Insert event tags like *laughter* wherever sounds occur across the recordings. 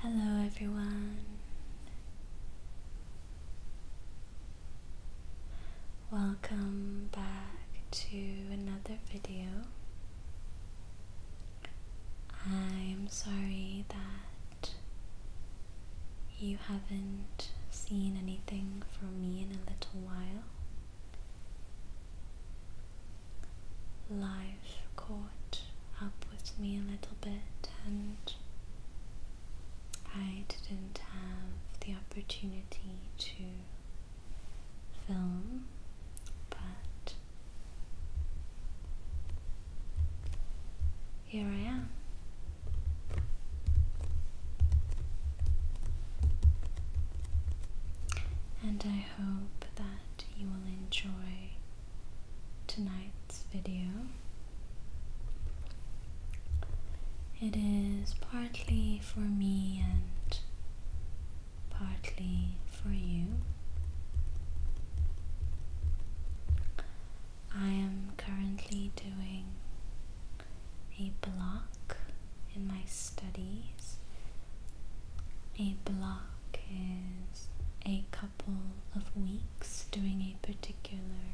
Hello, everyone. Welcome back to another video. I'm sorry that haven't seen anything from me in a little while. Life caught up with me a little bit, and I didn't have the opportunity to film, but here I am. And I hope that you will enjoy tonight's video. It is partly for me and partly for you. I am currently doing a block in my studies. A block is a couple of weeks doing a particular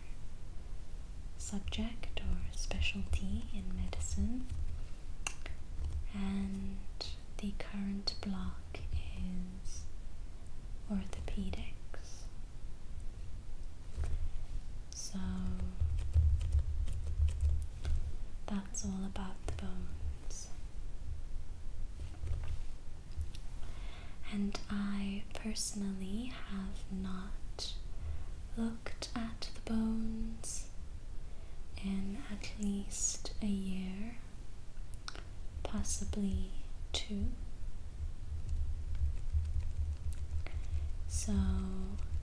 subject or specialty in medicine, and the current block is orthopedics. So that's all about the bones. And I personally have not looked at the bones in at least a year, possibly two so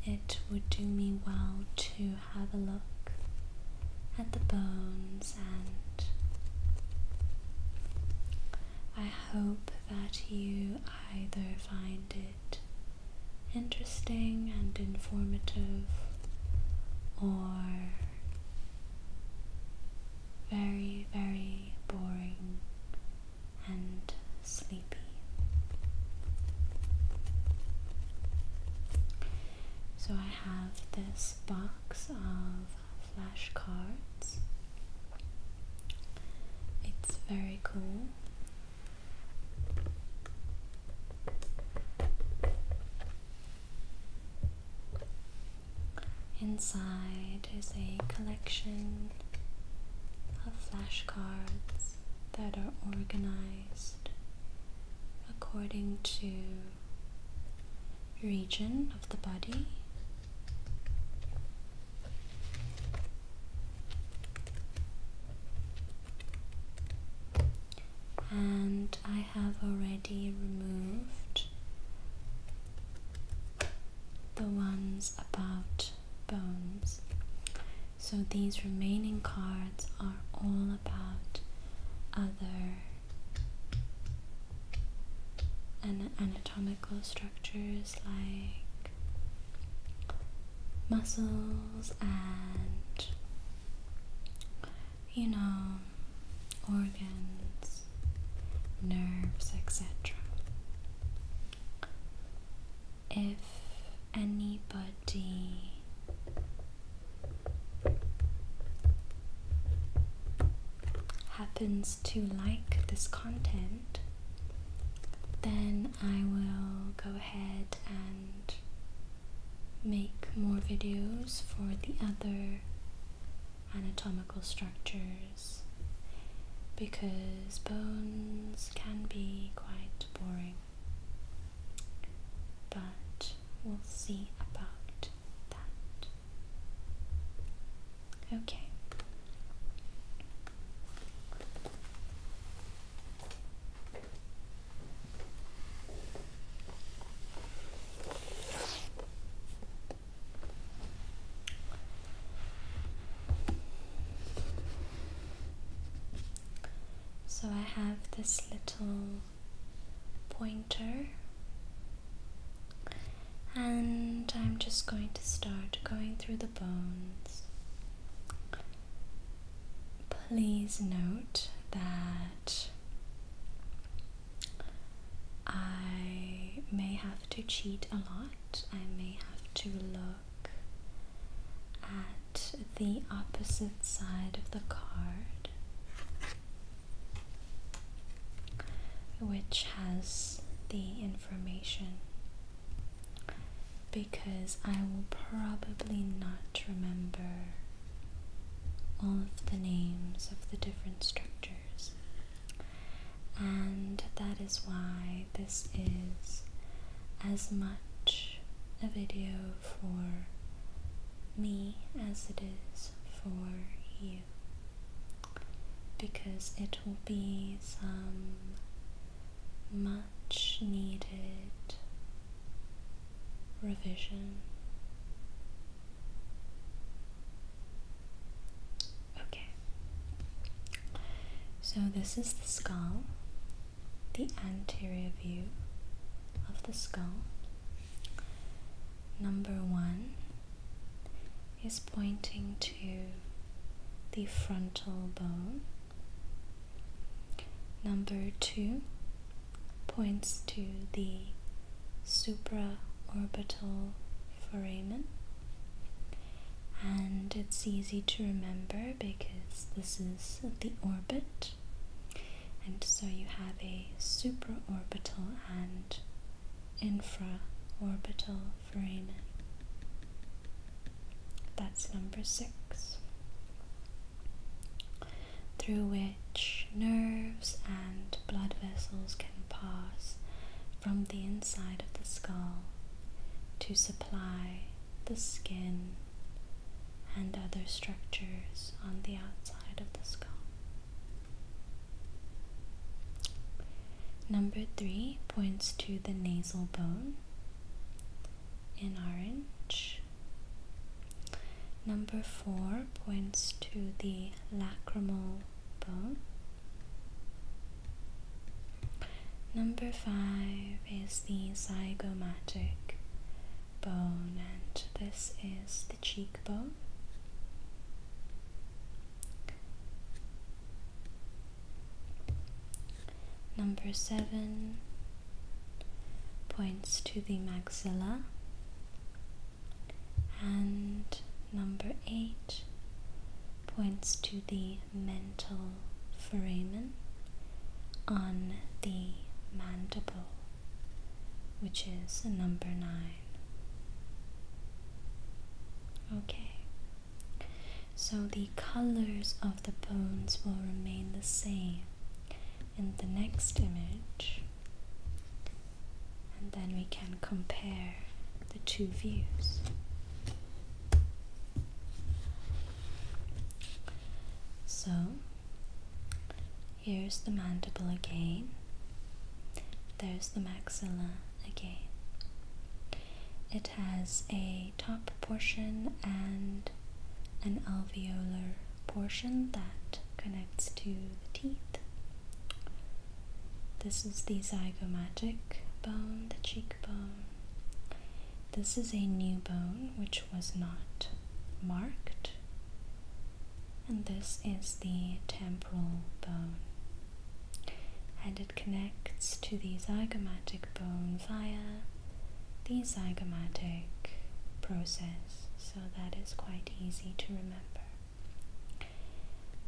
it would do me well to have a look at the bones and I hope that you either find it interesting and informative or very, very boring and sleepy. So I have this box of flashcards. It's very cool. Inside is a collection of flashcards that are organized according to region of the body. And I have already removed the ones about bones. So these remaining cards are all about other anatomical structures like muscles and you know organs nerves etc if anybody happens to like this content, then I will go ahead and make more videos for the other anatomical structures because bones can be quite boring. But we'll see about that. Okay. So I have this little pointer and I'm just going to start going through the bones. Please note that I may have to cheat a lot. I may have to look at the opposite side of the card, which has the information. Because I will probably not remember all of the names of the different structures, and that is why this is as much a video for me as it is for you because it will be some much needed revision. Okay, so this is the skull the anterior view of the skull. Number one is pointing to the frontal bone. Number two points to the supraorbital foramen. And it's easy to remember because this is the orbit and so you have a supraorbital and infraorbital foramen. That's number six. Through which nerves and blood vessels can pass from the inside of the skull to supply the skin and other structures on the outside of the skull. Number three points to the nasal bone in orange. Number four points to the lacrimal bone. Number five is the zygomatic bone, and this is the cheekbone. Number seven points to the maxilla, and number eight points to the mental foramen on the mandible, which is number nine. Okay, so the colors of the bones will remain the same in the next image, and then we can compare the two views. So here's the mandible again. There's the maxilla again. It has a top portion and an alveolar portion that connects to the teeth. This is the zygomatic bone, the cheekbone, this is a new bone which was not marked, and this is the temporal bone. And it connects to the zygomatic bone via the zygomatic process, so that is quite easy to remember.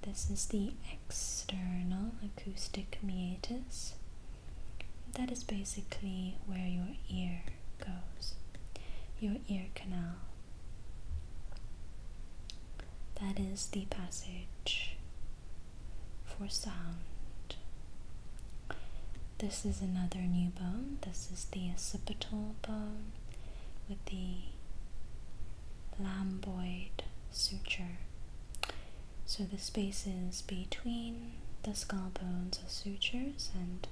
This is the external acoustic meatus, that is basically where your ear goes, your ear canal. That is the passage for sound. This is another new bone. This is the occipital bone with the lamboid suture. So the spaces between the skull bones are sutures and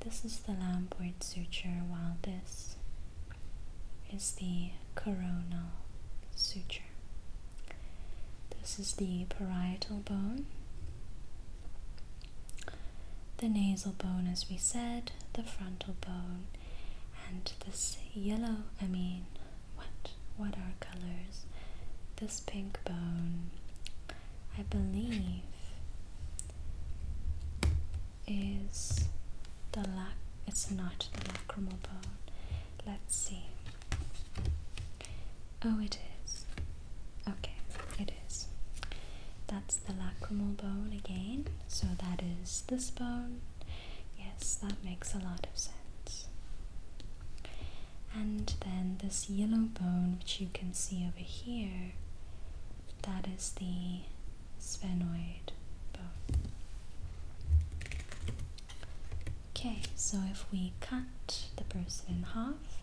this is the lamboid suture while this is the coronal suture. This is the parietal bone. The nasal bone, as we said, the frontal bone, and this yellow, I mean, what what are colors? This pink bone I believe is the lac it's not the lacrimal bone. Let's see. Oh it is. Okay, it is. That's the lacrimal bone again. So that is this bone. Yes, that makes a lot of sense and then this yellow bone which you can see over here that is the sphenoid bone okay so if we cut the person in half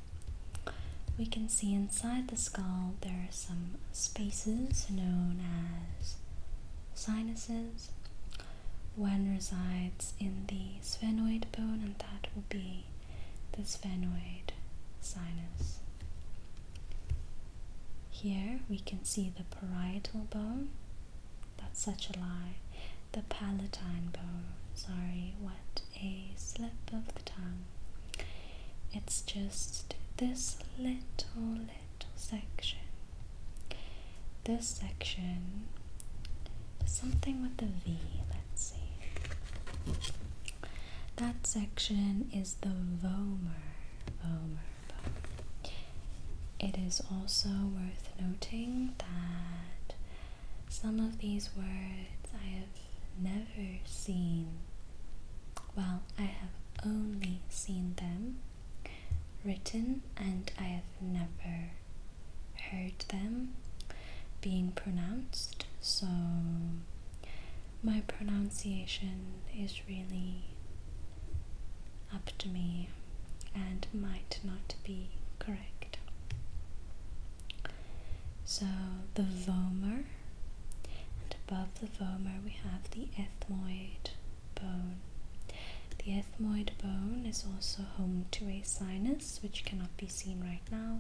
we can see inside the skull there are some spaces known as sinuses. One resides in the sphenoid bone, and that will be the sphenoid sinus. Here we can see the parietal bone, that's such a lie, the palatine bone, sorry, what a slip of the tongue. It's just this little, little section. This section Something with a V, let's see. That section is the Vomer. Vomer, Vomer. It is also worth noting that some of these words I have never seen. Well, I have only seen them written and I have never heard them being pronounced, so my pronunciation is really up to me and might not be correct. So the vomer, and above the vomer we have the ethmoid bone. The ethmoid bone is also home to a sinus which cannot be seen right now,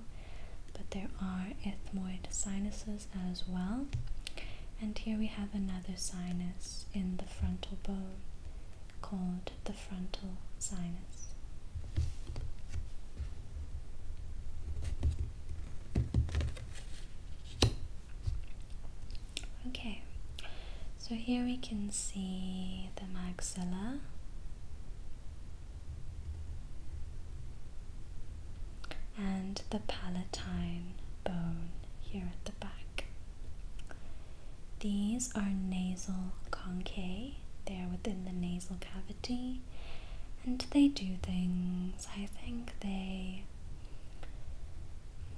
but there are ethmoid sinuses as well. And here we have another sinus in the frontal bone called the frontal sinus. Okay, so here we can see the maxilla and the palatine bone here at the back. These are nasal conchae, they are within the nasal cavity, and they do things. I think they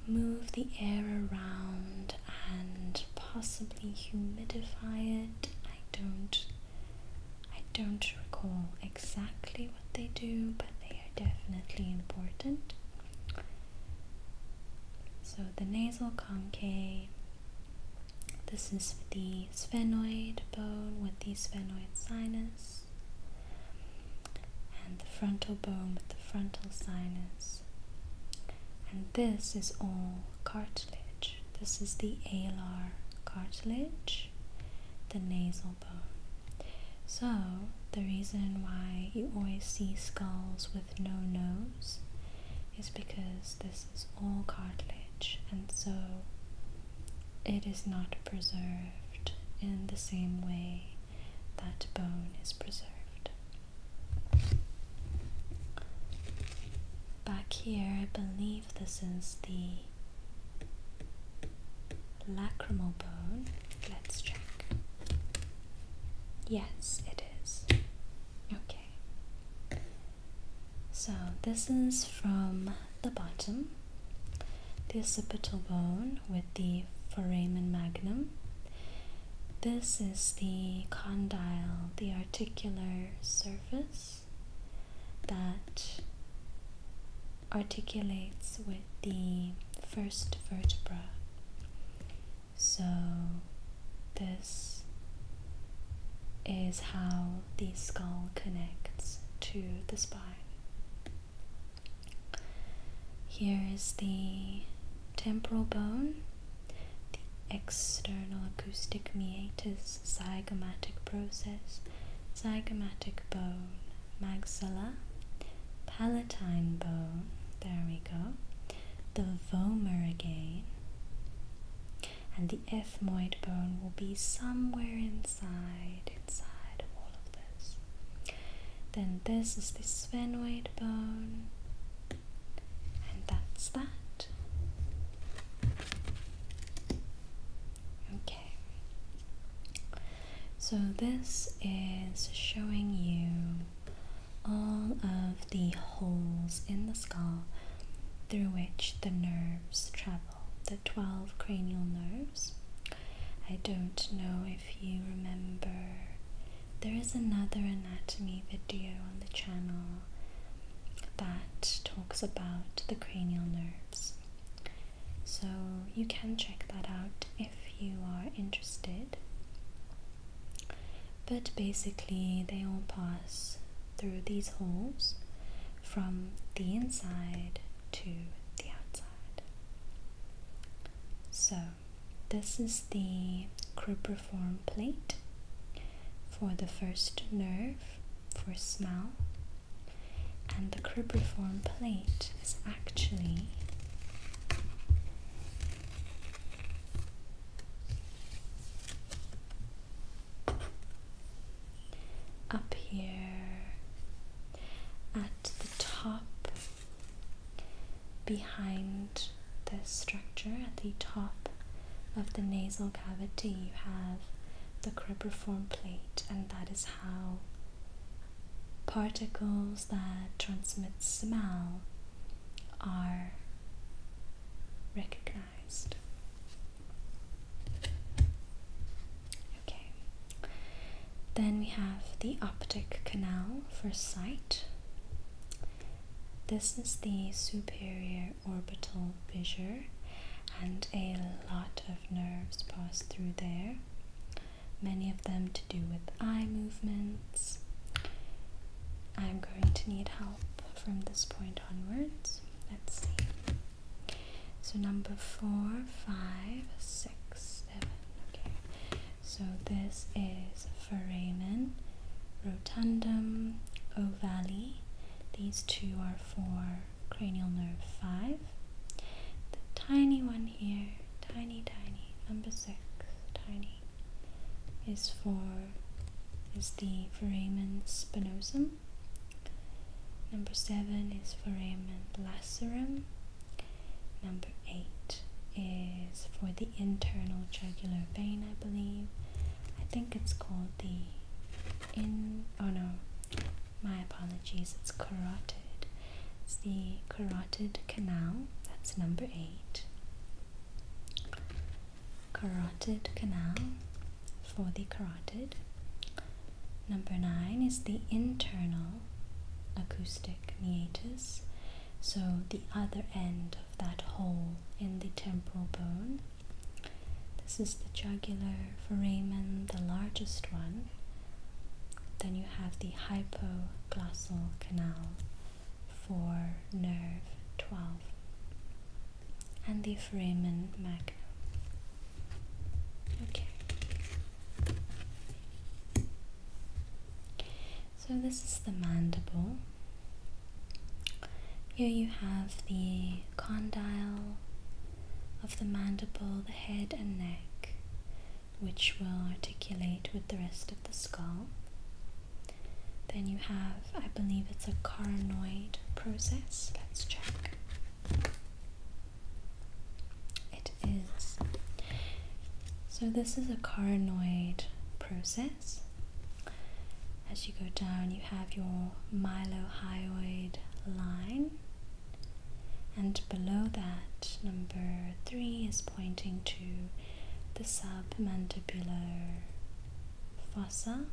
move the air around and possibly humidify it. I don't I don't recall exactly what they do, but they are definitely important. So the nasal concave this is the sphenoid bone with the sphenoid sinus and the frontal bone with the frontal sinus. And this is all cartilage. This is the alar cartilage, the nasal bone. So, the reason why you always see skulls with no nose is because this is all cartilage and so it is not preserved in the same way that bone is preserved. Back here, I believe this is the lacrimal bone. Let's check. Yes, it is. Okay. So, this is from the bottom, the occipital bone with the foramen magnum. This is the condyle, the articular surface that articulates with the first vertebra. So, this is how the skull connects to the spine. Here is the temporal bone the external acoustic meatus zygomatic process, zygomatic bone, maxilla, palatine bone, there we go, the vomer again, and the ethmoid bone will be somewhere inside, inside all of this. Then this is the sphenoid bone, and that's that. Okay. So this is showing you all of the holes in the skull through which the nerves travel, the 12 cranial nerves. I don't know if you remember, there is another anatomy video on the channel that talks about the cranial nerves. So you can check that out if you are interested. But basically, they all pass through these holes from the inside to the outside. So, this is the cribriform plate for the first nerve for smell, and the cribiform plate is actually up here at the top behind the structure at the top of the nasal cavity, you have the cribriform plate, and that is how particles that transmit smell are recognized. Okay, then we have the optic canal for sight. This is the superior Orbital fissure and a lot of nerves pass through there, many of them to do with eye movements. I'm going to need help from this point onwards. Let's see. So, number four, five, six, seven. Okay. So, this is foramen, rotundum, ovale, these two are for cranial nerve 5. The tiny one here, tiny, tiny, number 6, tiny, is for is the foramen spinosum. Number 7 is foramen lacerum. Number 8 is for the internal jugular vein, I believe. I think it's called the in oh no my apologies it's carotid it's the carotid canal that's number 8 carotid canal for the carotid number 9 is the internal acoustic meatus so the other end of that hole in the temporal bone this is the jugular foramen, the largest one. Then you have the hypoglossal canal for nerve 12 and the foramen magnum. Okay. So this is the mandible. Here you have the condyle of the mandible, the head and neck, which will articulate with the rest of the skull. Then you have, I believe it's a carinoid process. Let's check. It is. So, this is a carinoid process as you go down, you have your mylohyoid line, and below that, number three is pointing to the submandibular fossa.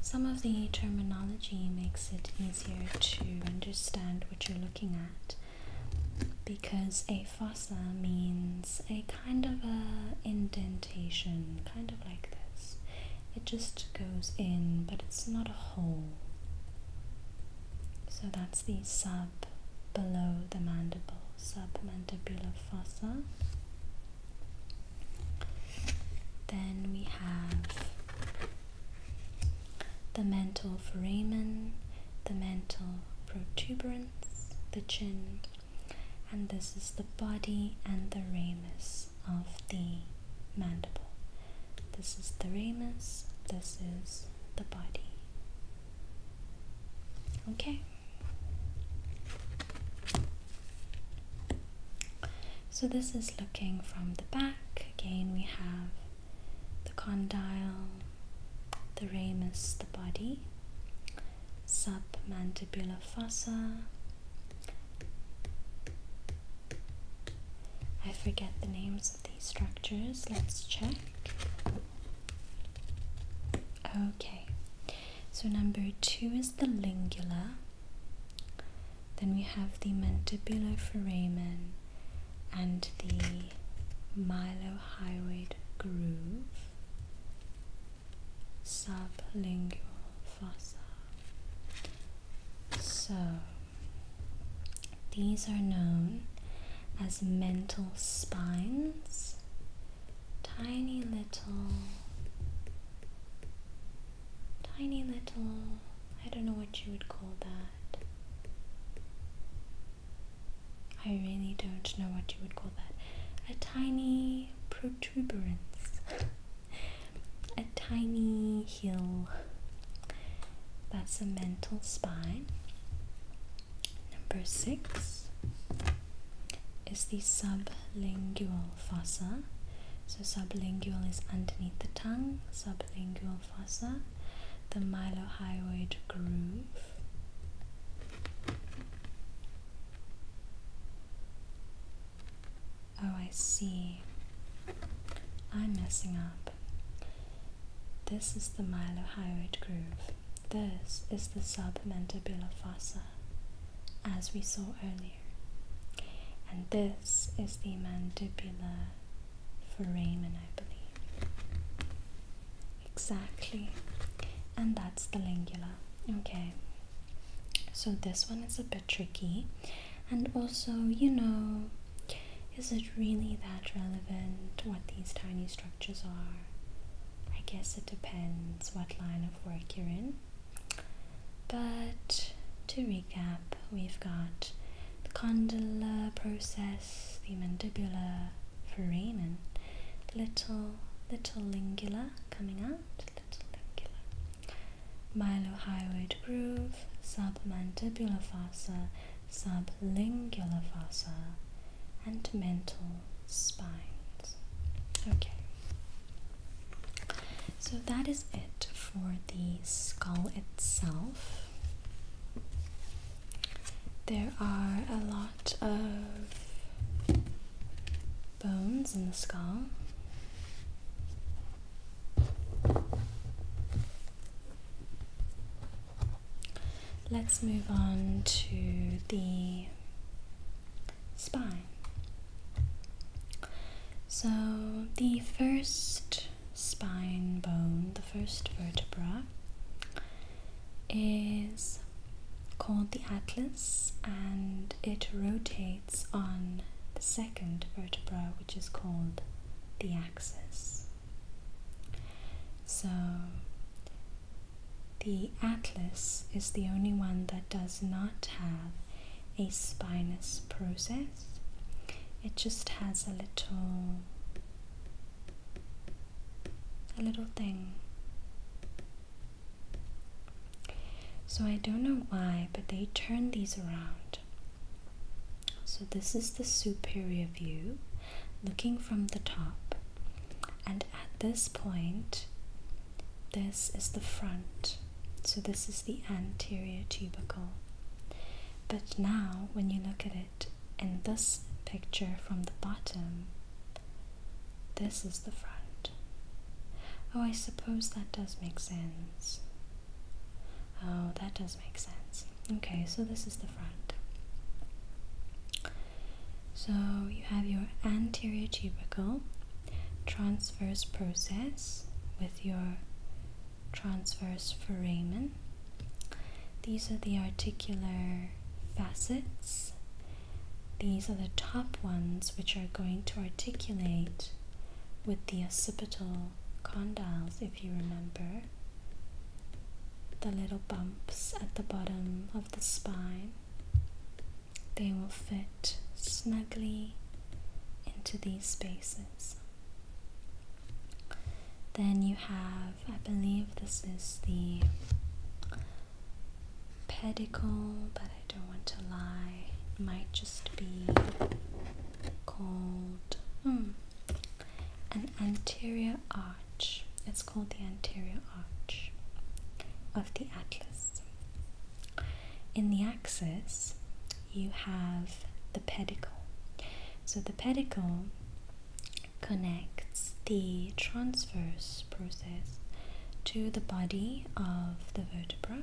Some of the terminology makes it easier to understand what you're looking at because a fossa means a kind of a indent kind of like this. It just goes in, but it's not a hole. So that's the sub below the mandible, submandibular fossa. Then we have the mental foramen, the mental protuberance, the chin, and this is the body and the ramus of the mandible. This is the ramus, this is the body. Okay. So this is looking from the back. Again, we have the condyle, the ramus, the body submandibular fossa. I forget the names of these structures. Let's check. Okay, so number two is the lingula. Then we have the mandibular foramen and the mylohyoid groove sublingual fossa. So, these are known as mental spines, tiny little, tiny little, I don't know what you would call that. I really don't know what you would call that. A tiny protuberance. *laughs* a tiny hill. That's a mental spine. Number six is the sublingual fossa. So, sublingual is underneath the tongue, sublingual fossa, the mylohyoid groove. Oh, I see. I'm messing up. This is the mylohyoid groove. This is the submandibular fossa, as we saw earlier. And this is the mandibular foramen, I believe. Exactly. And that's the lingula. Okay. So this one is a bit tricky. And also, you know, is it really that relevant what these tiny structures are? I guess it depends what line of work you're in. But to recap, we've got the condylar process, the mandibular foramen, little, little lingula coming out, Mylohyoid groove, submandibular fossa, sublingual fossa, and mental spines. Okay. So that is it for the skull itself. There are a lot of bones in the skull. Let's move on to the spine. So, the first spine bone, the first vertebra, is called the atlas and it rotates it's on the second vertebra, which is called the axis. So, the atlas is the only one that does not have a spinous process, it just has a little a little thing so I don't know why, but they turn these around. So this is the superior view looking from the top. And at this point, this is the front. So this is the anterior tubercle. But now when you look at it in this picture from the bottom, this is the front. Oh, I suppose that does make sense. Oh, that does make sense. Okay, so this is the front. So you have your anterior tubercle transverse process with your transverse foramen. These are the articular facets. These are the top ones which are going to articulate with the occipital condyles, if you remember, the little bumps at the bottom of the spine, they will fit snugly into these spaces. Then you have, I believe this is the pedicle, but I don't want to lie. It might just be called hmm. an anterior arch. It's called the anterior arch of the atlas. In the axis, you have the pedicle. So the pedicle connects the transverse process to the body of the vertebra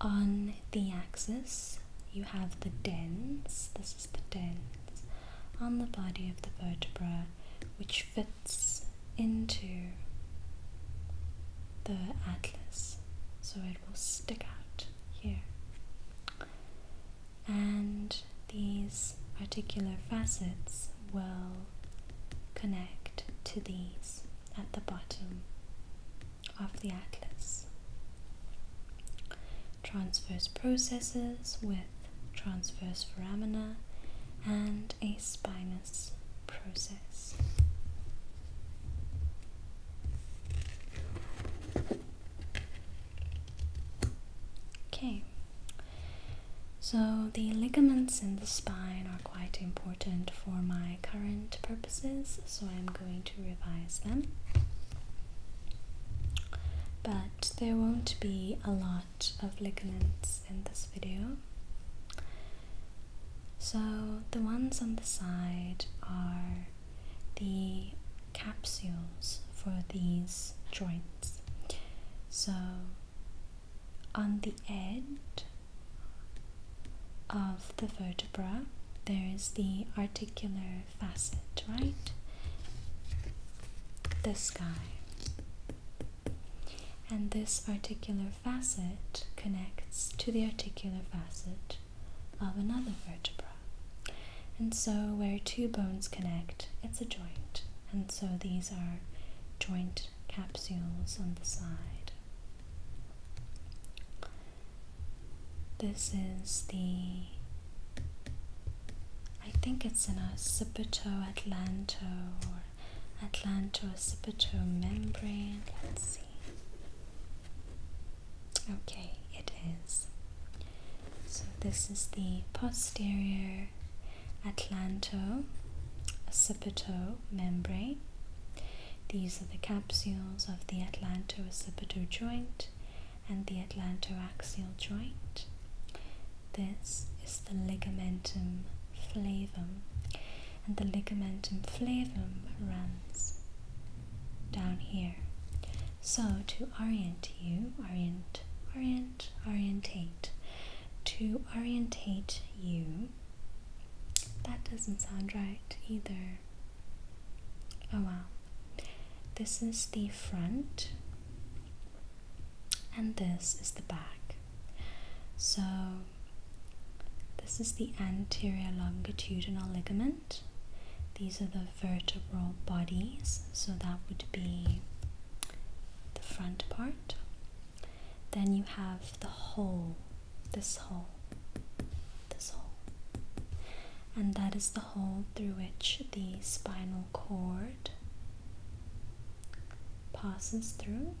on the axis, you have the dens, this is the dens, on the body of the vertebra, which fits into the atlas, so it will stick out here. And these particular facets will connect to these at the bottom of the atlas. Transverse processes with transverse foramina and a spinous process. Okay, so the ligaments in the spine are quite important for my current purposes, so I'm going to revise them. But there won't be a lot of ligaments in this video. So the ones on the side are the capsules for these joints. So on the end of the vertebra, there is the articular facet, right? This guy, And this articular facet connects to the articular facet of another vertebra. And so, where two bones connect, it's a joint. And so, these are joint capsules on the side. This is the I think it's an occipital atlanto or atlanto occipital membrane. Let's see. Okay, it is. So this is the posterior atlanto occipital membrane these are the capsules of the atlantorecipitor joint and the atlantoaxial joint. This is the ligamentum flavum, and the ligamentum flavum runs down here. So, to orient you, orient, orient, orientate, to orientate you that doesn't sound right either. Oh wow. This is the front, and this is the back. So, this is the anterior longitudinal ligament. These are the vertebral bodies, so that would be the front part. Then you have the whole, this whole, this whole. And that is the hole through which the spinal cord passes through.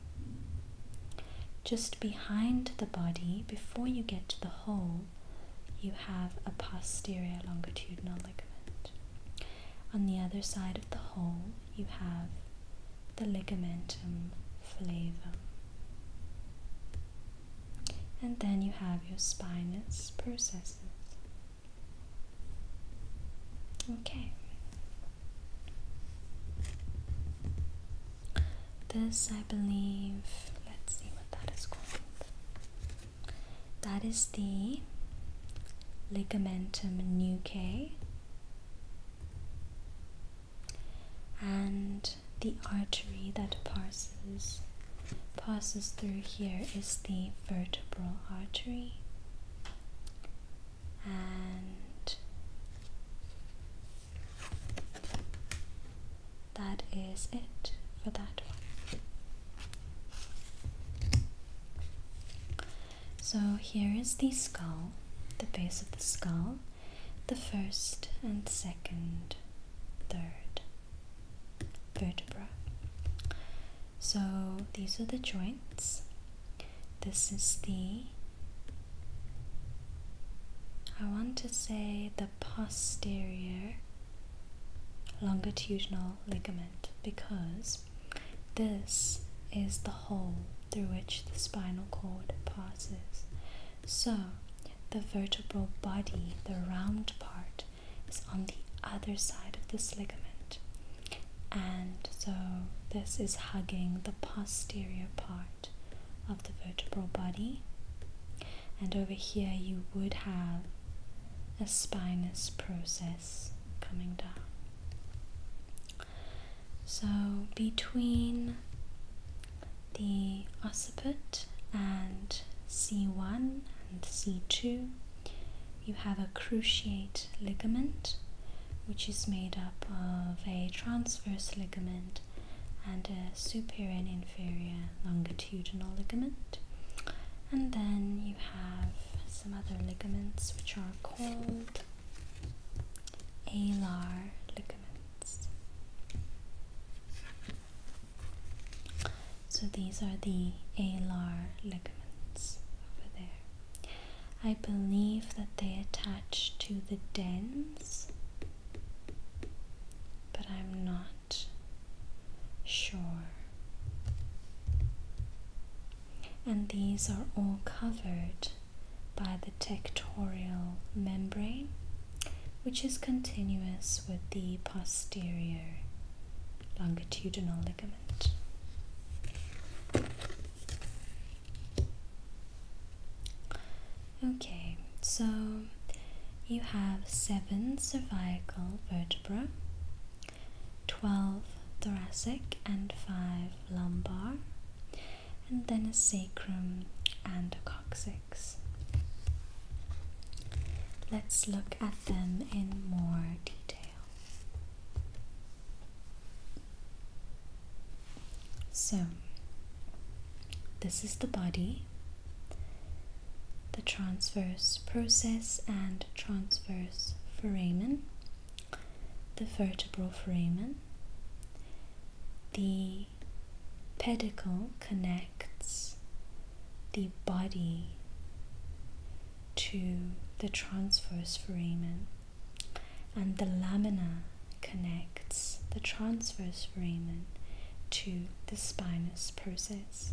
Just behind the body, before you get to the hole, you have a posterior longitudinal ligament. On the other side of the hole, you have the ligamentum flavum. And then you have your spinous processes. Okay. This, I believe, let's see what that is called. That is the ligamentum nuchae and the artery that passes passes through here is the vertebral artery and that is it for that one. So here is the skull, the base of the skull, the first and second, third vertebra. So these are the joints. This is the, I want to say the posterior longitudinal ligament because this is the hole through which the spinal cord passes. So, the vertebral body, the round part, is on the other side of this ligament, and so this is hugging the posterior part of the vertebral body. And over here, you would have a spinous process coming down. So between the occiput and C1 and C2, you have a cruciate ligament which is made up of a transverse ligament and a superior and inferior longitudinal ligament. And then you have some other ligaments which are called alar ligaments. So these are the alar ligaments over there. I believe that they attach to the dens, but I'm not sure. And these are all covered by the tectorial membrane, which is continuous with the posterior longitudinal ligament. Okay, so you have seven cervical vertebrae, 12 thoracic, and five lumbar and then a sacrum and a coccyx. Let's look at them in more detail. So, this is the body, the transverse process and transverse foramen, the vertebral foramen, the Pedicle connects the body to the transverse foramen, and the lamina connects the transverse foramen to the spinous process.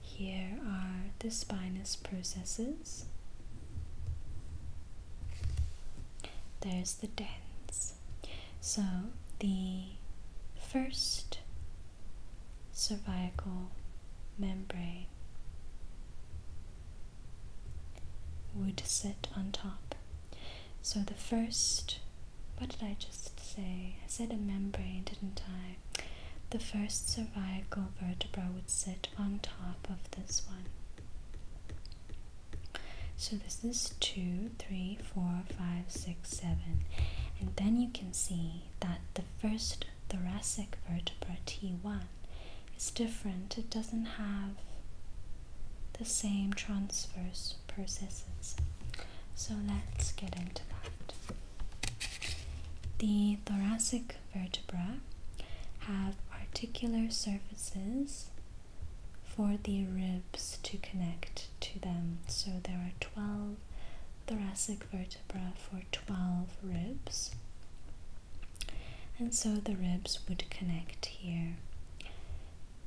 Here are the spinous processes. There's the dens. So, the first cervical membrane would sit on top. So, the first, what did I just say? I said a membrane, didn't I? The first cervical vertebra would sit on top of this one. So this is 2, 3, 4, 5, 6, 7. And then you can see that the first thoracic vertebra, T1, is different. It doesn't have the same transverse processes. So let's get into that. The thoracic vertebra have articular surfaces for the ribs to connect to them. So there are 12 thoracic vertebra for 12 ribs. And so the ribs would connect here.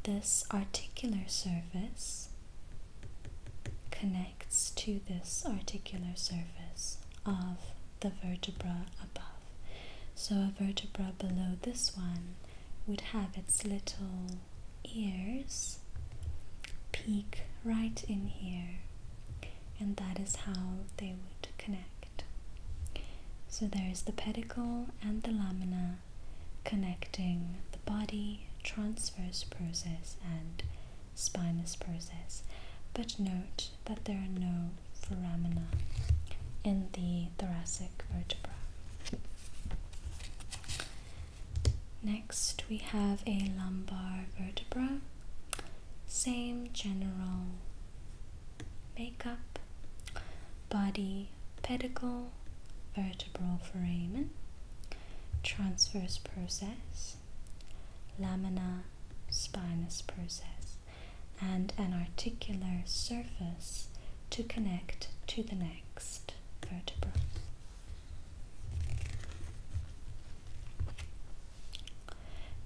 This articular surface connects to this articular surface of the vertebra above. So a vertebra below this one would have its little ears peek right in here, and that is how they would connect. So there is the pedicle and the lamina connecting the body, transverse process, and spinous process. But note that there are no foramina in the thoracic vertebra. Next, we have a lumbar vertebra. Same general makeup, body, pedicle, vertebral foramen, transverse process, lamina, spinous process, and an articular surface to connect to the neck next vertebra.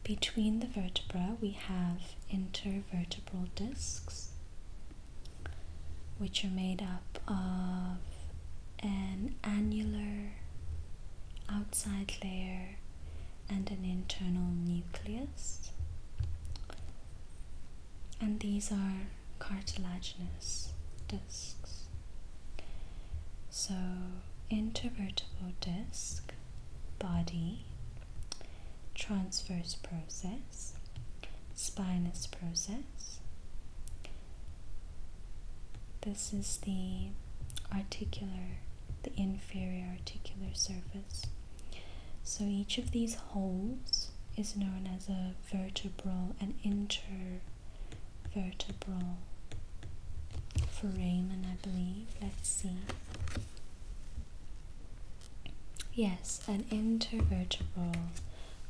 Between the vertebra, we have intervertebral discs, which are made up of an annular outside layer and an internal nucleus and these are cartilaginous discs. So, intervertebral disc, body, transverse process, spinous process. This is the articular, the inferior articular surface. So each of these holes is known as a vertebral and intervertebral foramen, I believe. Let's see. Yes, an intervertebral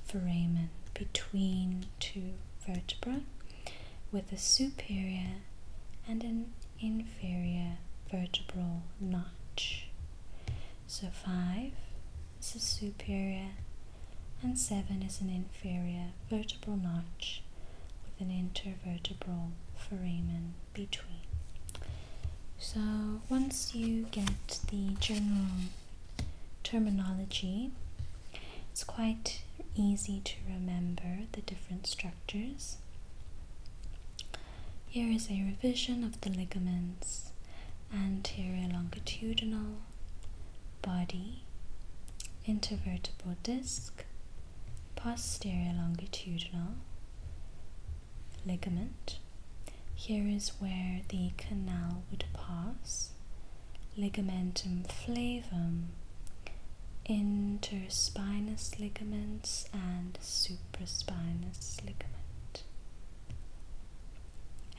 foramen between two vertebrae with a superior and an inferior vertebral notch. So 5 is a superior and 7 is an inferior vertebral notch with an intervertebral foramen between. So once you get the general terminology, it's quite easy to remember the different structures. Here is a revision of the ligaments anterior longitudinal, body, intervertebral disc, posterior longitudinal ligament. Here is where the canal would pass. Ligamentum flavum, interspinous ligaments, and supraspinous ligament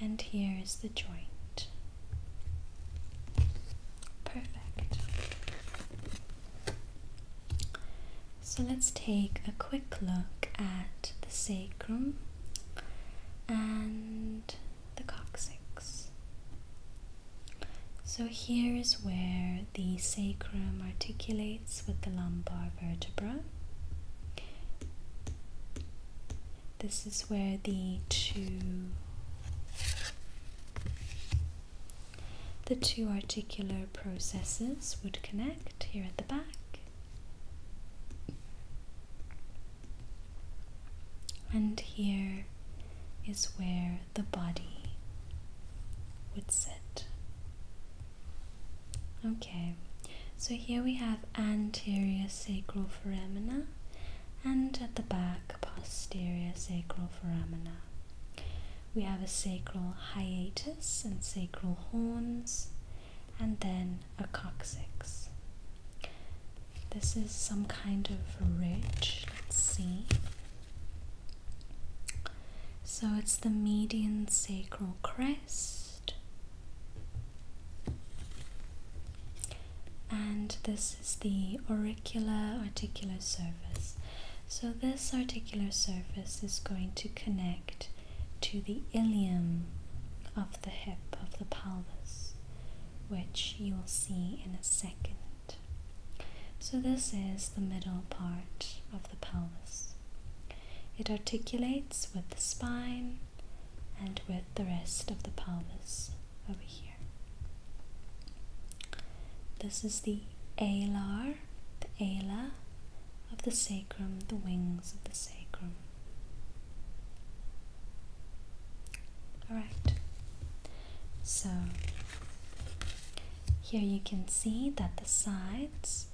and here is the joint. Perfect. So let's take a quick look at the sacrum and the coccyx. So here is where the sacrum articulates with the lumbar vertebra. This is where the two the two articular processes would connect here at the back. And here is where the body would sit. Okay, so here we have anterior sacral foramina and at the back posterior sacral foramina. We have a sacral hiatus and sacral horns and then a coccyx. This is some kind of ridge. Let's see. So it's the median sacral crest and this is the auricular articular surface. So, this articular surface is going to connect to the ilium of the hip of the pelvis, which you will see in a second. So, this is the middle part of the pelvis. It articulates with the spine and with the rest of the pelvis over here. This is the alar, the ala of the sacrum, the wings of the sacrum. Alright, so here you can see that the sides,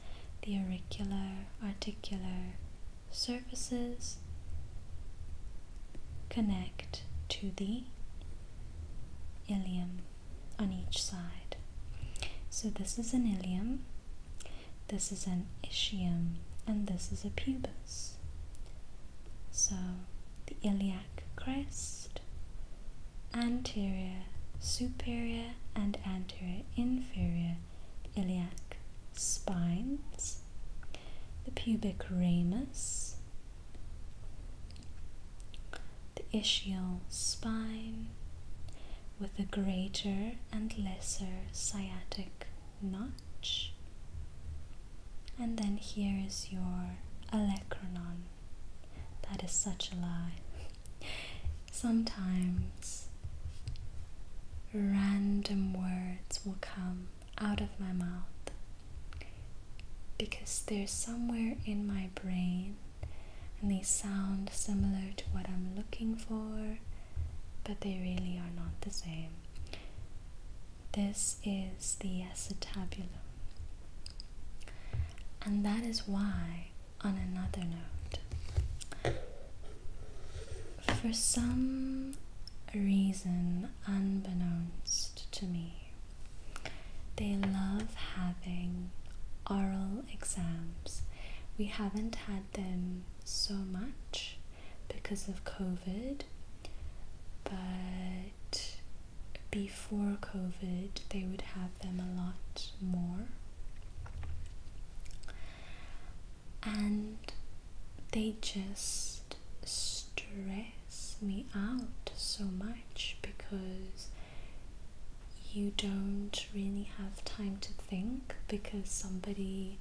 the auricular, articular, surfaces connect to the ilium on each side. So this is an ilium, this is an ischium, and this is a pubis. So the iliac crest, anterior, superior, and anterior, inferior iliac spines, the pubic ramus, the ischial spine with the greater and lesser sciatic notch, and then here is your olecranon. That is such a lie sometimes random words will come out of my mouth because they're somewhere in my brain and they sound similar to what I'm looking for, but they really are not the same. This is the acetabulum, and that is why, on another note, for some reason, unbeknownst to me, they love having oral exams. We haven't had them so much because of COVID, but before COVID, they would have them a lot more and they just stress me out so much because you don't really have time to think because somebody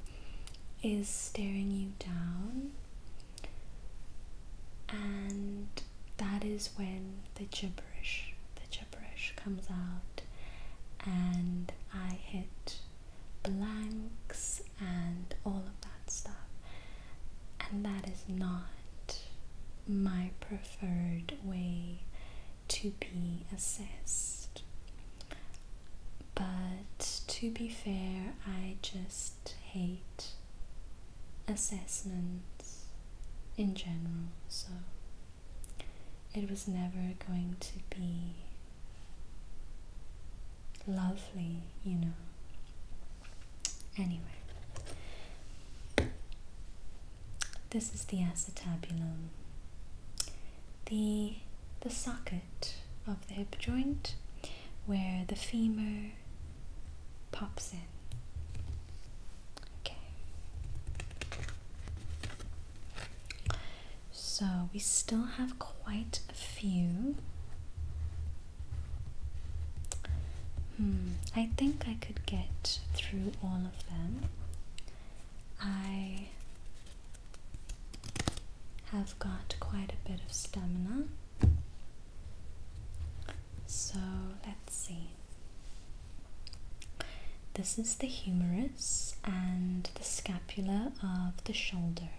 is staring you down and that is when the gibberish the gibberish comes out and i hit blanks and all of that stuff. And that is not my preferred way to be assessed. But to be fair, I just hate assessments in general, so it was never going to be lovely, you know. Anyway, this is the acetabulum, the, the socket of the hip joint where the femur pops in. Okay. So we still have quite a few. Hmm, I think I could get through all of them. I have got quite a bit of stamina. So let's see. This is the humerus and the scapula of the shoulder,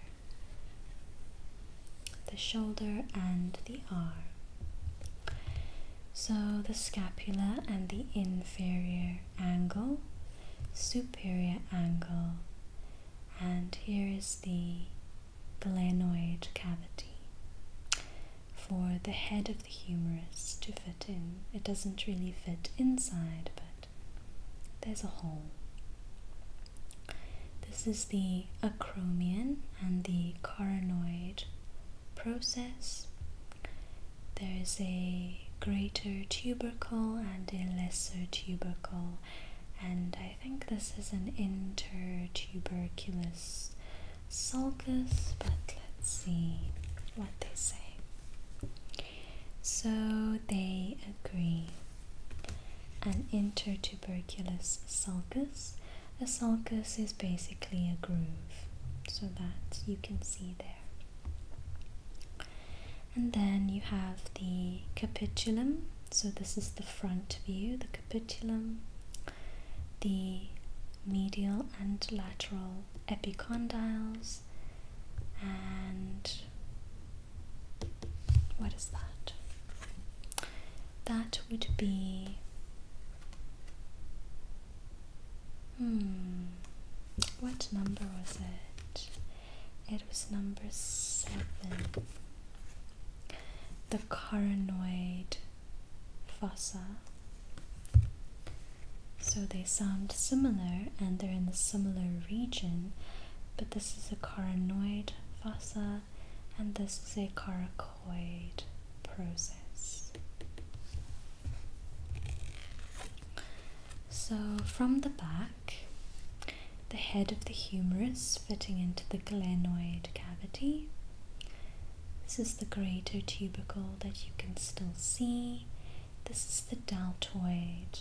the shoulder and the arm. So the scapula and the inferior angle, superior angle, and here is the glenoid cavity for the head of the humerus to fit in. It doesn't really fit inside, but there's a hole. This is the acromion and the coronoid process. There is a greater tubercle and a lesser tubercle, and I think this is an intertuberculous sulcus, but let's see what they say. So they agree. An intertuberculous sulcus. A sulcus is basically a groove, so that you can see there. And then you have the capitulum. So this is the front view, the capitulum, the medial and lateral epicondyles, and what is that? That would be. Hmm, what number was it? It was number seven. The carinoid fossa. So they sound similar and they're in the similar region, but this is a carinoid fossa and this is a caracoid process. So, from the back, the head of the humerus fitting into the glenoid cavity. This is the greater tubercle that you can still see. This is the deltoid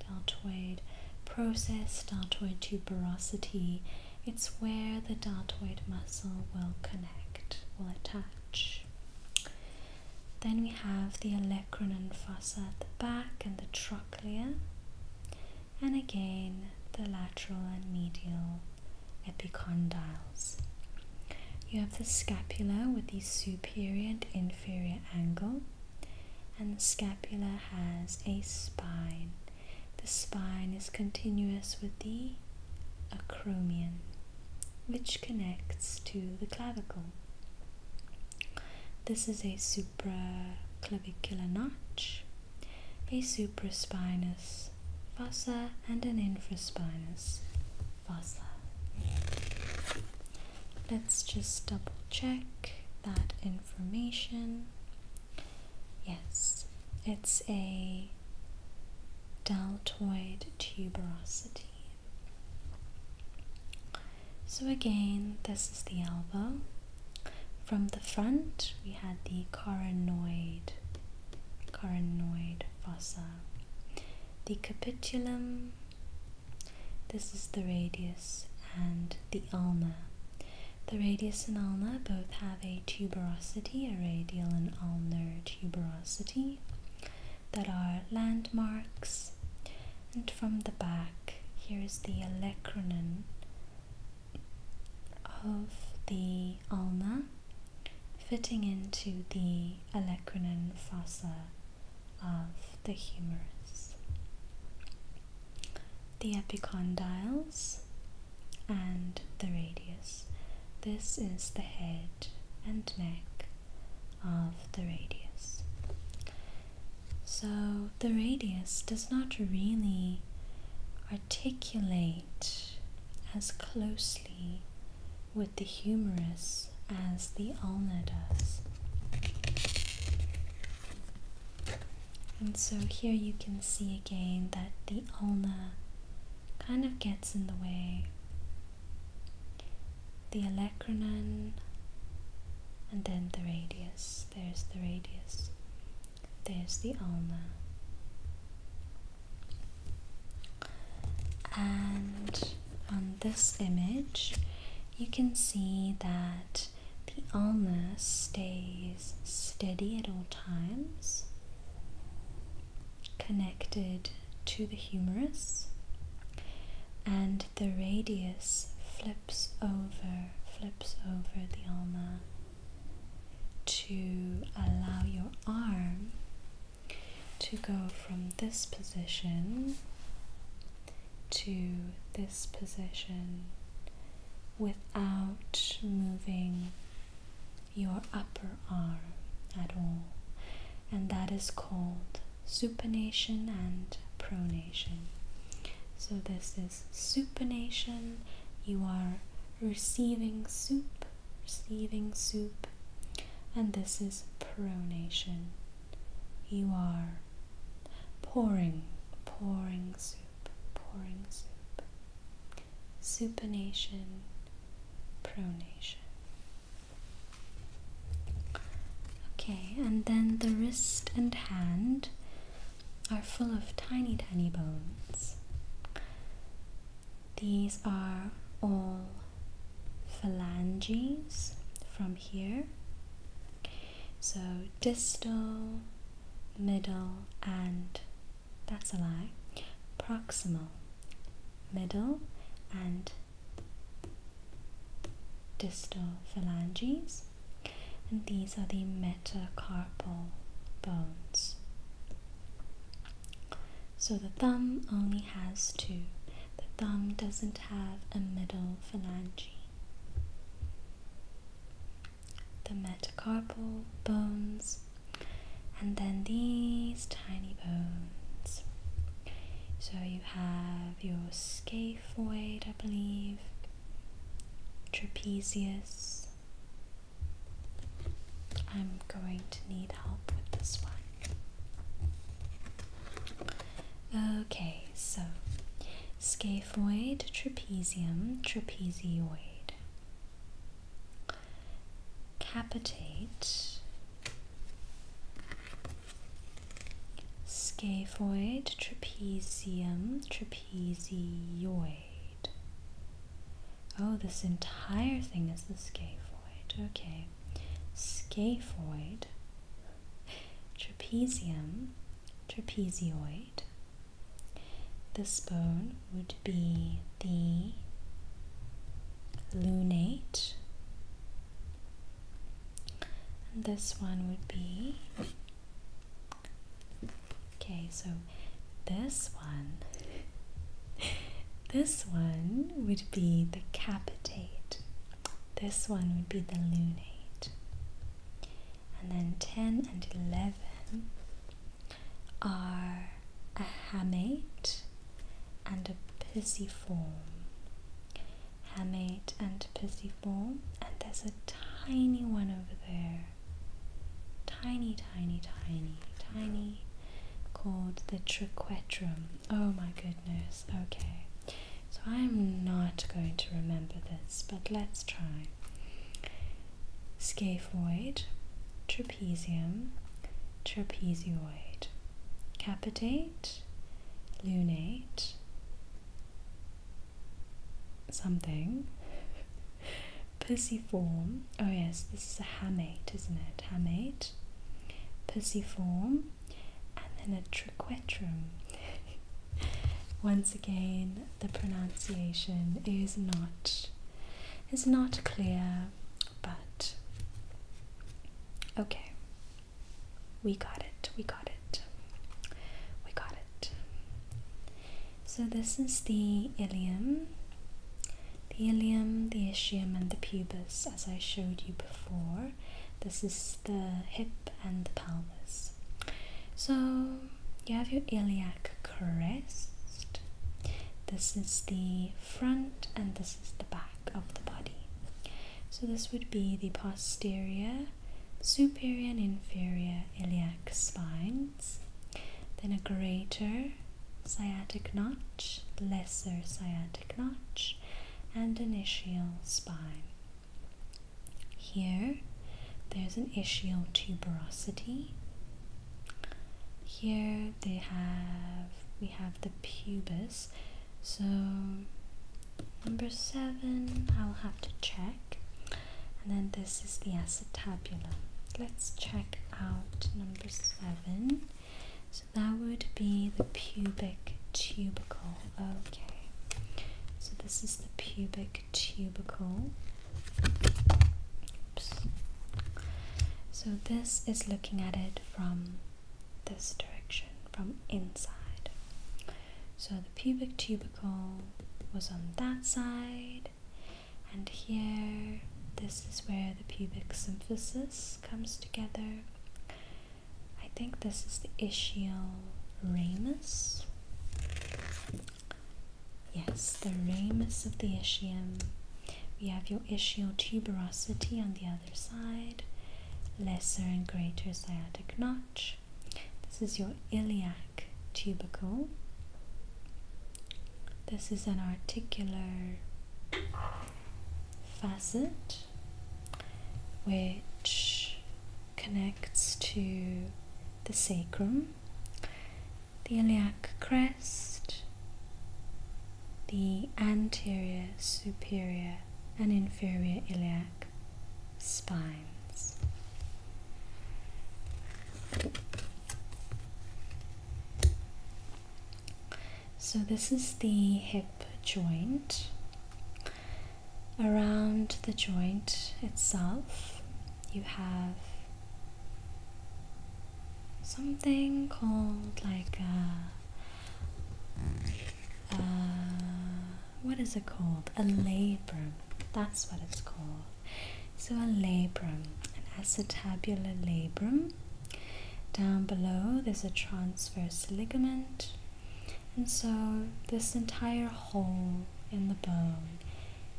deltoid process, deltoid tuberosity. It's where the deltoid muscle will connect, will attach. Then we have the and fossa at the back and the trochlea, and again the lateral and medial epicondyles. You have the scapula with the superior and inferior angle, and the scapula has a spine. The spine is continuous with the acromion, which connects to the clavicle. This is a supraclavicular notch, a supraspinous fossa, and an infraspinous fossa. Let's just double check that information. Yes, it's a deltoid tuberosity. So again, this is the elbow. From the front, we had the coronoid, coronoid fossa, the capitulum, this is the radius and the ulna. The radius and ulna both have a tuberosity, a radial and ulnar tuberosity, that are landmarks. And from the back, here is the olecranon of the ulna, fitting into the olecranon fossa of the humerus, the epicondyles, and the radius. This is the head and neck of the radius. So the radius does not really articulate as closely with the humerus as the ulna does. And so here you can see again that the ulna kind of gets in the way. The olecranon and then the radius. There's the radius. There's the ulna. And on this image, you can see that the ulna stays steady at all times, connected to the humerus, and the radius flips over, flips over the ulna to allow your arm to go from this position to this position without moving your upper arm at all, and that is called supination and pronation. So, this is supination, you are receiving soup, receiving soup, and this is pronation. You are pouring, pouring soup, pouring soup. Supination, pronation. Okay, and then the wrist and hand are full of tiny, tiny bones. These are all phalanges from here so distal, middle, and that's a lie, proximal, middle, and distal phalanges. And these are the metacarpal bones. So the thumb only has two. The thumb doesn't have a middle phalange. The metacarpal bones, and then these tiny bones. So you have your scaphoid, I believe, trapezius. I'm going to need help with this one. Okay, so scaphoid, trapezium, trapezioid, capitate, scaphoid, trapezium, trapezioid. Oh, this entire thing is the scaphoid. Okay, scaphoid, trapezium, trapezoid. This bone would be the lunate, this one would be. Okay, so this one, this one would be the capitate. This one would be the lunate and then 10 and 11 are a hamate and a pisiform. Hamate and pisiform, and there's a tiny one over there. Tiny, tiny, tiny, tiny, called the triquetrum. Oh my goodness okay. So I'm not going to remember this, but let's try. Scaphoid, trapezium, trapezioid, capitate, lunate, something, *laughs* Perciform. Oh yes, this is a hamate, isn't it? Hamate. Perciform and then a triquetrum. *laughs* Once again, the pronunciation is not is not clear, but okay. We got it. We got it. We got it. So this is the ilium. The ilium, the ischium, and the pubis, as I showed you before. This is the hip and the pelvis. So you have your iliac crest. This is the front and this is the back of the body. So this would be the posterior, superior and inferior iliac spines. Then a greater sciatic notch, lesser sciatic notch, and an ischial spine. Here, there's an ischial tuberosity. Here they have we have the pubis. So number seven, I'll have to check. And then this is the acetabulum. Let's check out number seven. So that would be the pubic tubercle. Okay, so this is the pubic tubercle. So this is looking at it from this direction, from inside. So the pubic tubercle was on that side, and here this is where the pubic symphysis comes together. I think this is the Ischial ramus. Yes, the ramus of the ischium. We have your ischial tuberosity on the other side, lesser and greater sciatic notch. This is your iliac tubercle. This is an articular facet which connects to the sacrum, the iliac crest, the anterior, superior, and inferior iliac spines. So, this is the hip joint, around the joint itself, you have something called like a, what is it called? A labrum. That's what it's called. So a labrum, an acetabular labrum. Down below, there's a transverse ligament. And so this entire hole in the bone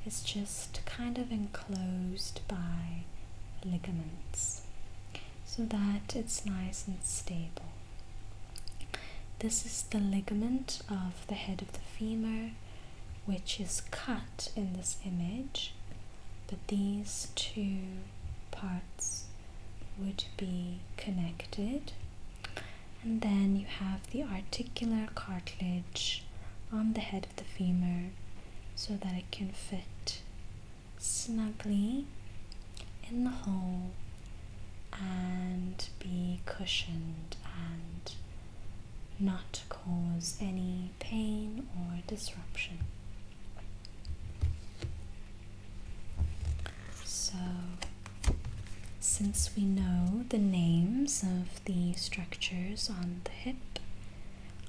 is just kind of enclosed by ligaments so that it's nice and stable. This is the ligament of the head of the femur, which is cut in this image, but these two parts would be connected and then you have the articular cartilage on the head of the femur so that it can fit snugly in the hole and be cushioned and not cause any pain or disruption. So since we know the names of the structures on the hip,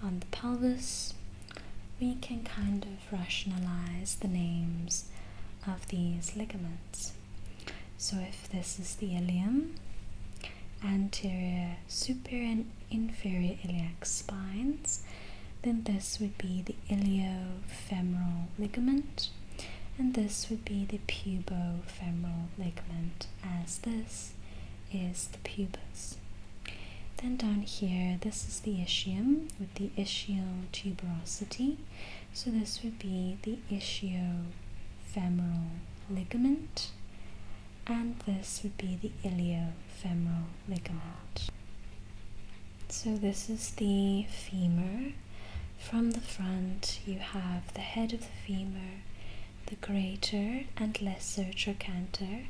on the pelvis, we can kind of rationalize the names of these ligaments. So if this is the ilium, anterior, superior and inferior iliac spines, then this would be the iliofemoral ligament. And this would be the pubofemoral ligament, as this is the pubis. Then down here, this is the ischium with the ischial tuberosity. So this would be the ischiofemoral ligament, and this would be the iliofemoral ligament. So this is the femur from the front, you have the head of the femur, the greater and lesser trochanter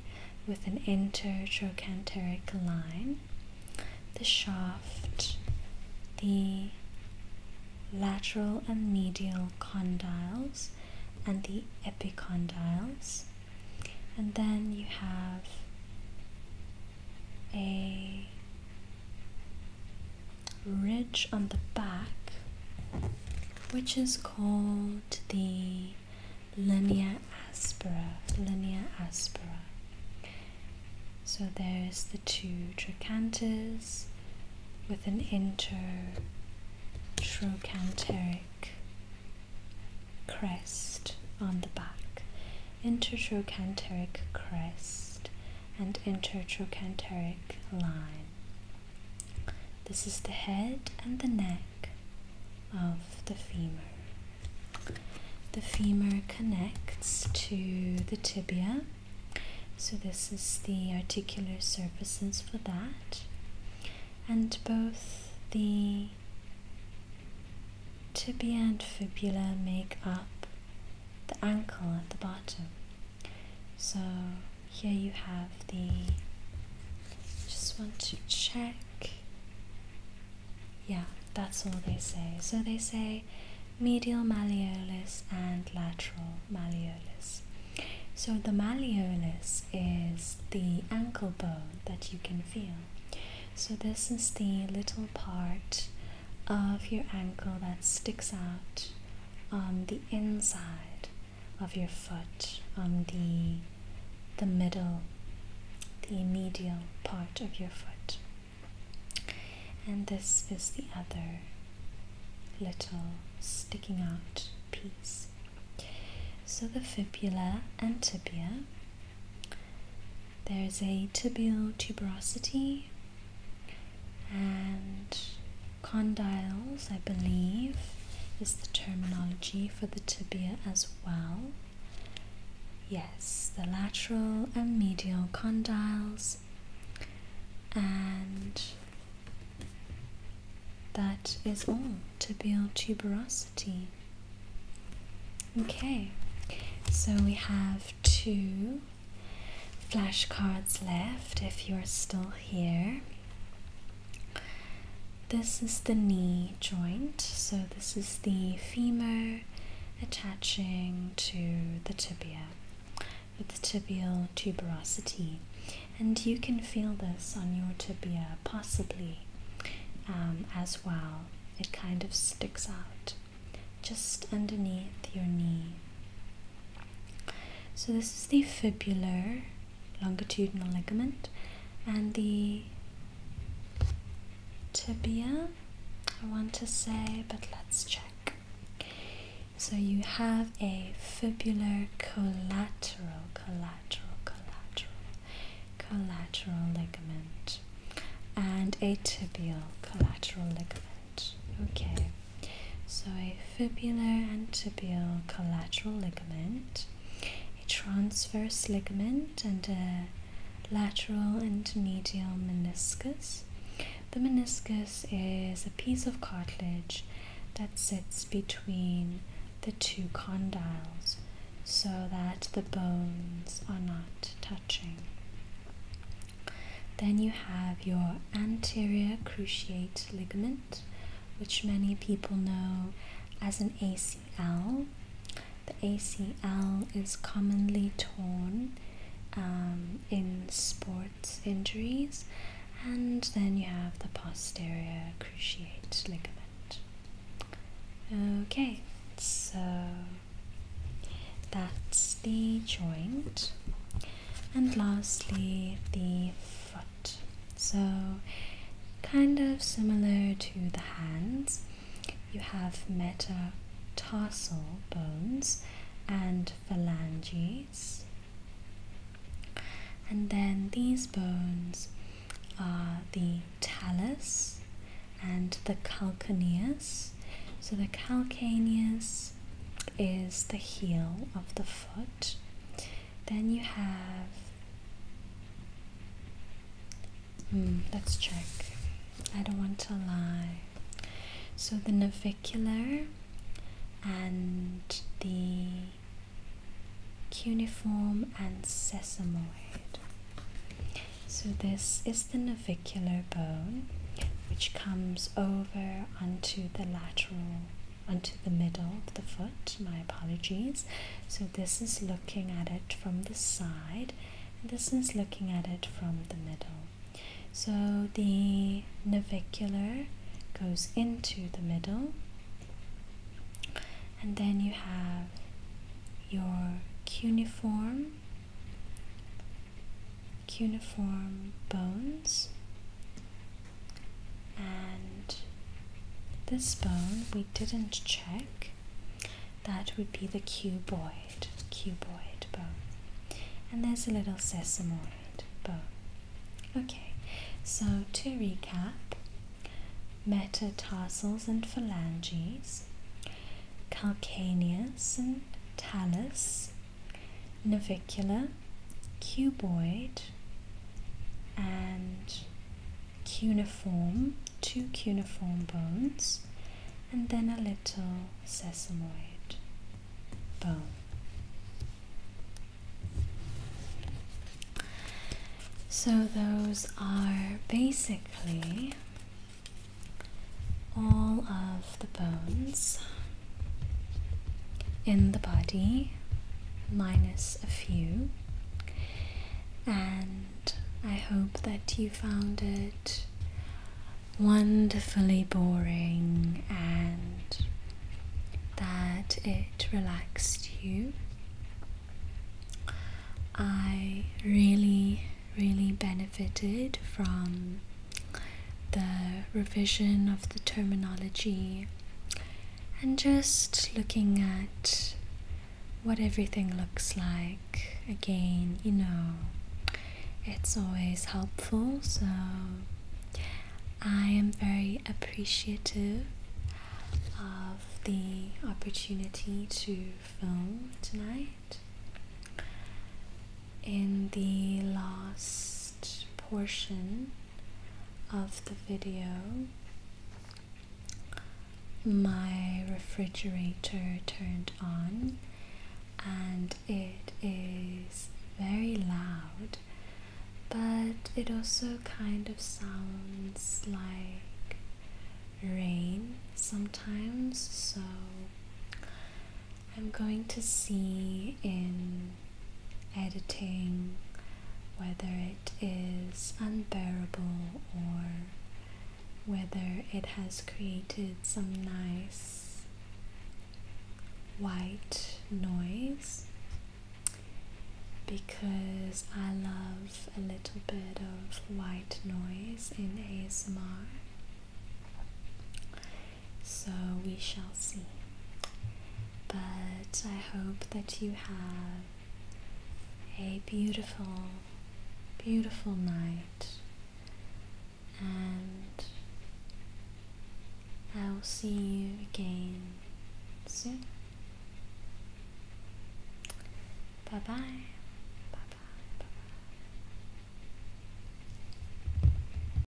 with an intertrochanteric line, the shaft, the lateral and medial condyles, and the epicondyles. And then you have a ridge on the back, which is called the linea aspera. Linea aspera. So there's the two trochanterids with an intertrochanteric crest on the back. Intertrochanteric crest and intertrochanteric line. This is the head and the neck of the femur. The femur connects to the tibia, so this is the articular surfaces for that, and both the tibia and fibula make up the ankle at the bottom. So here you have the, just want to check. Yeah, that's all they say. So they say medial malleolus and lateral malleolus. So the malleolus is the ankle bone that you can feel. So this is the little part of your ankle that sticks out on the inside of your foot, on the, the middle, the medial part of your foot. And this is the other little sticking out piece. So the fibula and tibia. There's a tibial tuberosity and condyles, I believe, is the terminology for the tibia as well. Yes, the lateral and medial condyles, and that is all tibial tuberosity. Okay, so we have two flashcards left if you're still here. This is the knee joint, so this is the femur attaching to the tibia with the tibial tuberosity, and you can feel this on your tibia possibly um, as well. It kind of sticks out just underneath your knee. So, this is the fibular longitudinal ligament and the tibia, I want to say, but let's check. So, you have a fibular collateral, collateral, collateral, collateral ligament and a tibial collateral ligament. Okay. So a fibular and tibial collateral ligament, a transverse ligament and a lateral and medial meniscus. The meniscus is a piece of cartilage that sits between the two condyles so that the bones are not touching. Then you have your anterior cruciate ligament, which many people know as an ACL. The ACL is commonly torn um, in sports injuries, and then you have the posterior cruciate ligament. Okay, so that's the joint and lastly the foot so kind of similar to the hands you have metatarsal bones and phalanges and then these bones are the talus and the calcaneus so the calcaneus is the heel of the foot. Then you have. Hmm, let's check. I don't want to lie. So the navicular and the cuneiform and sesamoid. So this is the navicular bone which comes over onto the lateral, onto the middle of the foot. My apologies. So, this is looking at it from the side, this is looking at it from the middle. So, the navicular goes into the middle, and then you have your cuneiform cuneiform bones. And this bone we didn't check. That would be the cuboid, cuboid bone. And there's a little sesamoid bone. Okay, so to recap metatarsals and phalanges, calcaneus and talus, navicular, cuboid, and cuneiform, two cuneiform bones, and then a little sesamoid bone. So, those are basically all of the bones in the body, minus a few. And I hope that you found it wonderfully boring and that it relaxed you. I really, really benefited from the revision of the terminology, and just looking at what everything looks like. Again, you know, it's always helpful, so I am very appreciative of the opportunity to film tonight in the last portion of the video, my refrigerator turned on and it is very loud, but it also kind of sounds like rain sometimes, so I'm going to see in editing whether it is unbearable or whether it has created some nice white noise because I love a little bit of white noise in ASMR so we shall see. But I hope that you have a beautiful, beautiful night, and I will see you again soon. Bye bye. Bye bye. Bye bye.